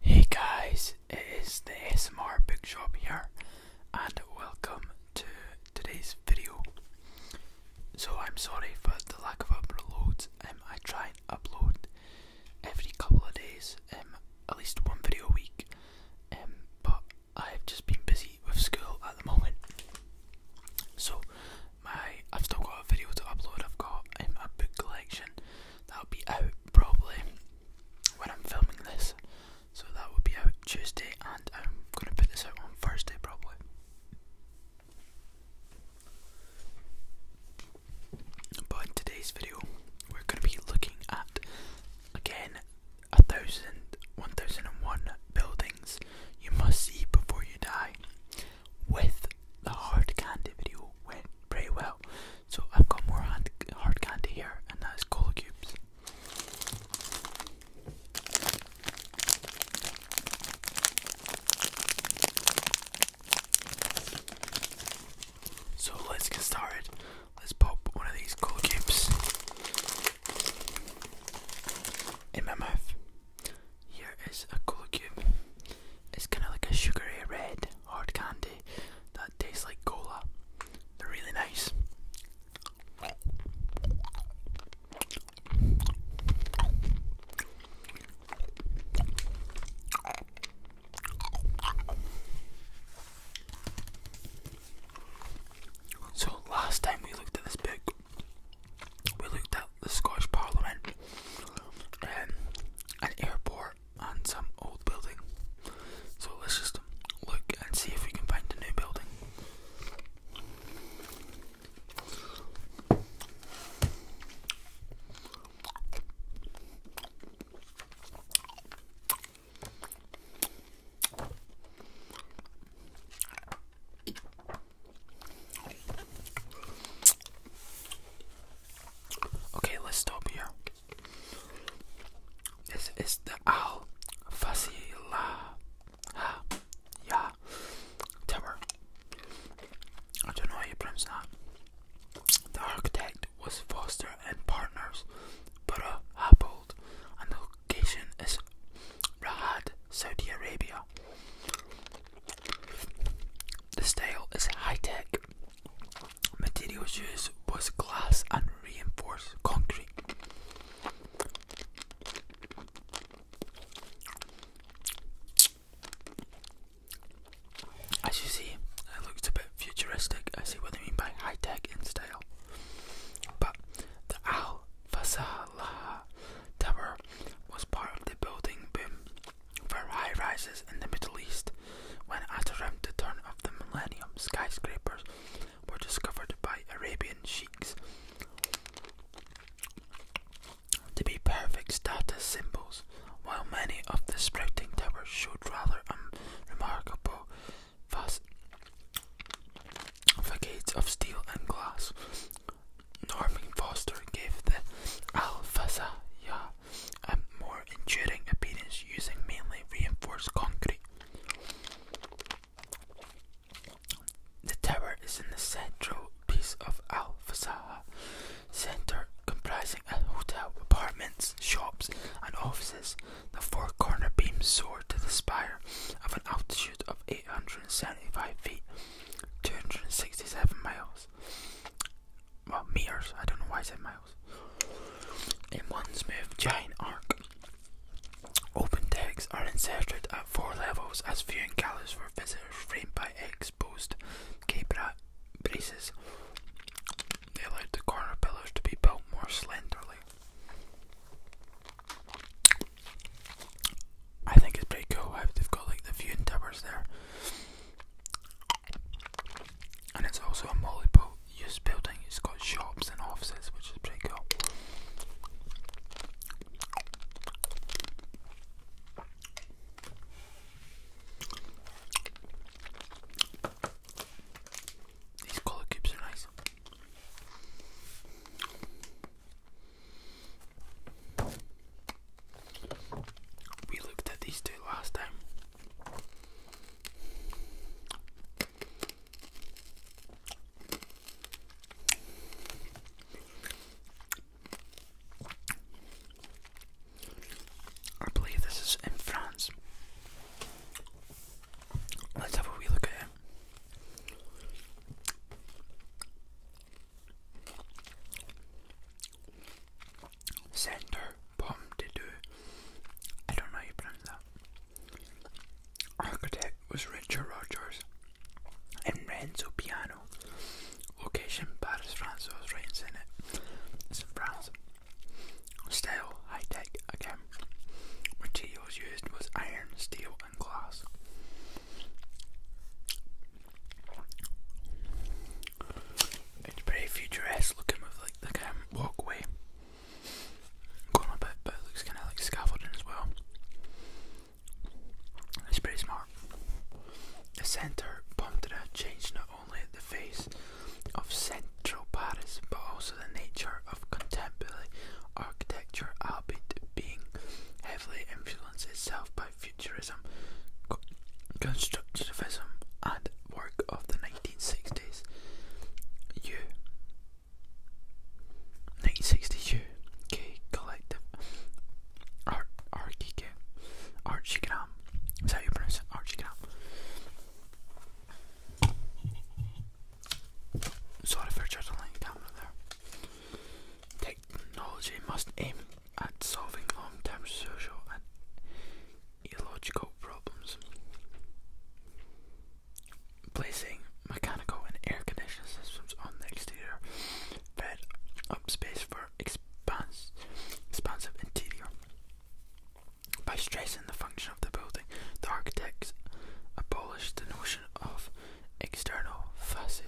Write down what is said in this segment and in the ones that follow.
Hey guys, it is the SMR Book Shop here and welcome to today's video. So I'm sorry for the lack of uploads, um, I try and upload every couple of days, um, at least one video a week, um, but I've just been busy with school at the moment. So my I've still got a video to upload, I've got um, a book collection that'll be out probably when I'm filming this. So that will be out Tuesday, and I'm going to put this out on Thursday probably. But today's video, we're going to be looking at again a thousand, one thousand and one buildings you must see before you die. With the hard candy video went pretty well, so I've got more hard candy here, and that is cola cubes. So let's get started. Let's pop one of these cola cubes in my mouth. Here is a cola cube. It's kind of like a sugary red hard candy that tastes like cola. They're really nice. So last time we looked at this book, we looked at the Scottish Parliament, and um, an airport, and some old building. So let's just look and see if we can find a new building. Okay, let's stop here. This is the Al Fasila Ya Tower. I don't know how you pronounce that. The architect was Foster and Partners, but a uh, Happold, and the location is Rahad, Saudi Arabia. The style is high tech Materials used was glass and reinforced concrete. As you see, it looks a bit futuristic. I see what they mean by high tech in style. But the Al Fasalah Tower was part of the building boom for high rises in the Middle East when, at around the turn of the millennium, skyscrapers were discovered by Arabian sheiks to be perfect status symbols, while many of the sprouting towers showed rather unremarkable facades of steel and glass. Norman Foster gave the Al Fasaya and more enduring appearance using mainly reinforced concrete. The tower is in the central piece of Al Fasaha Centre, comprising a hotel, apartments, shops, and offices. The four corner beams soar to the spire of an altitude of 875 feet, 267 miles. Well, meters, I don't know why I said miles. In one smooth giant arc, open decks are inserted at four levels as viewing galleries for visitors framed by exposed k braces. They allowed the corner pillars to be built more slenderly. I think it's pretty cool they've got like the viewing towers there. And it's also a multi use building, it's got shops and offices, which is pretty cool. These colour cubes are nice. We looked at these two last time, I believe this is in France. Let's have a wee look at it. Center Pomme de I don't know how you pronounce that. Architect was Richard Rogers and Renzo Piano. Location Paris, France, I was right in it. It's in France. Style high tech again. Materials used was iron, steel, and glass. It's pretty futuristic looking with like the um, walkway going a bit, but it looks kind of like scaffolding as well. It's pretty smart. The centre Pontera changed not only the face of central Paris but also the nature of contemporary architecture, albeit being heavily influenced itself by futurism, constructivism, and work of the 1960s you 1960s you collective art archie archigram is that how you pronounce it archigram sorry for juggling camera there technology must aim at solving long-term social and illogical problems. Placing mechanical and air conditioning systems on the exterior fed up space for expansive interior. By stressing the function of the building, the architects abolished the notion of external facade.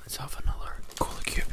Let's have another cola cube.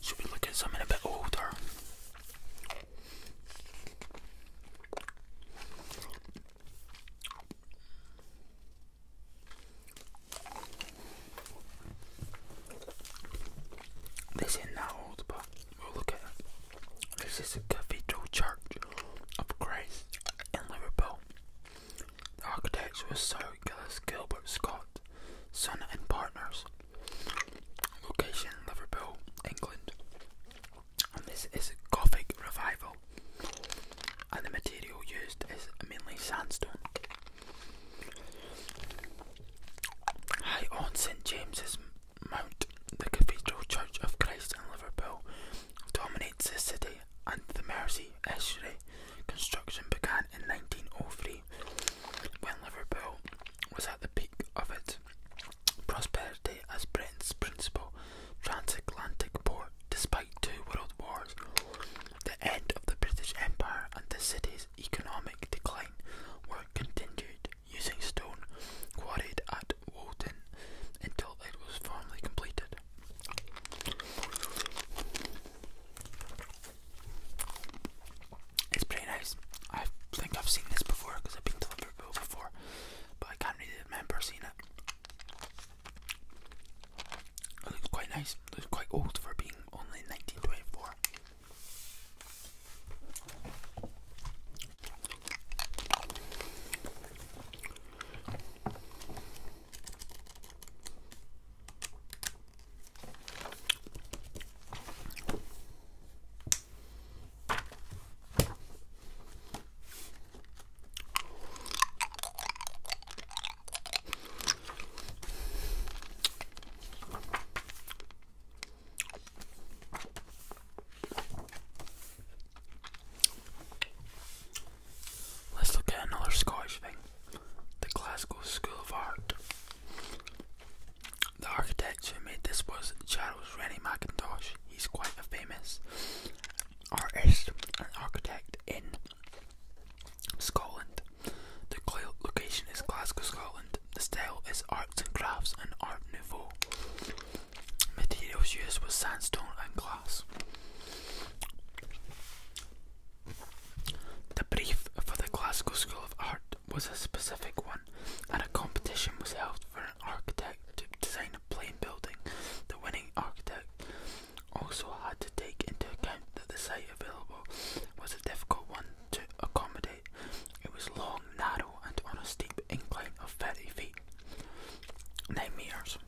Should we look at something a bit older? This isn't old, but we look at it. This is the Cathedral Church of Christ in Liverpool. The Sir Gillis Gilbert Scott, son and partners. Location Liverpool, England. And this is a Gothic revival and the material used is mainly sandstone. High on St James's Mount, the Cathedral Church of Christ in Liverpool dominates the city and the Mersey estuary. Construction began in 1903 when Liverpool was at the peak of its prosperity as Britain's principal transatlantic port despite two world wars the end of the British Empire and the city's economic decline were continued using stone quarried at Woden until it was formally completed. It's pretty nice. I think I've seen this before because I've been to Liverpool before, but I can't really remember seeing it. It looks quite nice. It looks quite old for being only 1924. Let's look at another Scottish thing the Classical School of Art. The architect who made this was Charles Rennie Mackintosh. He's quite a famous artist and architect in Scotland. The location is Glasgow, Scotland. The style is arts and crafts and art nouveau. Materials used were sandstone and glass. The brief for the Glasgow School of Art was a specific one, and a competition was held for an architect to design a plain building. The winning architect also had to take into account that the site available was a difficult one to accommodate. It was long, narrow, and on a steep incline of 30 feet, 9 metres.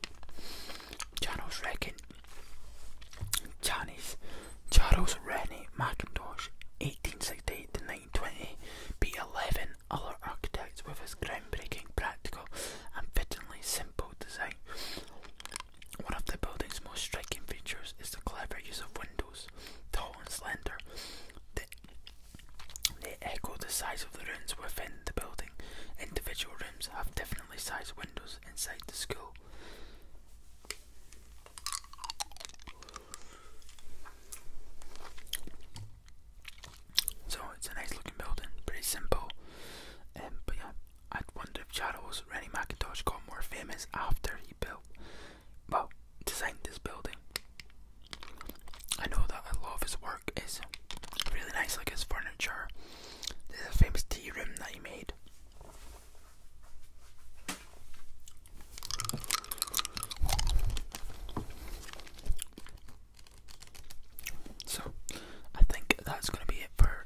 Charles reckoned Janice, Charles Rennie Mackintosh, 1868 to 1920, beat 11 other architects with his groundbreaking, practical, and fittingly simple design. One of the building's most striking features is the clever use of windows, tall and slender. They, they echo the size of the rooms within the building. Individual rooms have definitely sized windows inside the school. So it's a nice looking building, pretty simple, um, but yeah, I wonder if Charles Rennie McIntosh got more famous after he built, well, designed this building. I know that I love his work is really nice, like his furniture. There's a famous tea room that he made. So, I think that's going to be it for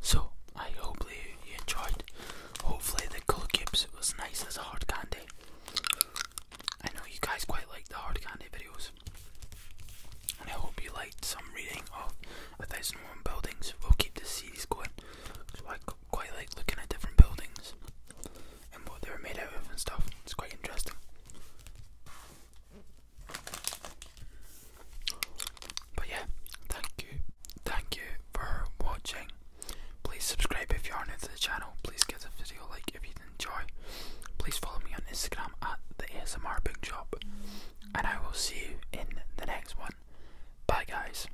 So I hope you enjoyed. Hopefully the cool gips was nice as a hard candy. I know you guys quite like the hard candy videos. And I hope you liked some reading of a thousand one buildings. We'll keep this series going. I quite like looking at different buildings and what they were made out of and stuff. It's quite interesting. But yeah, thank you. Thank you for watching. Please subscribe if you are new to the channel. Please give the video a like if you enjoy. Please follow me on Instagram at the ASMR Big Job, And I will see you in the next one. Bye guys.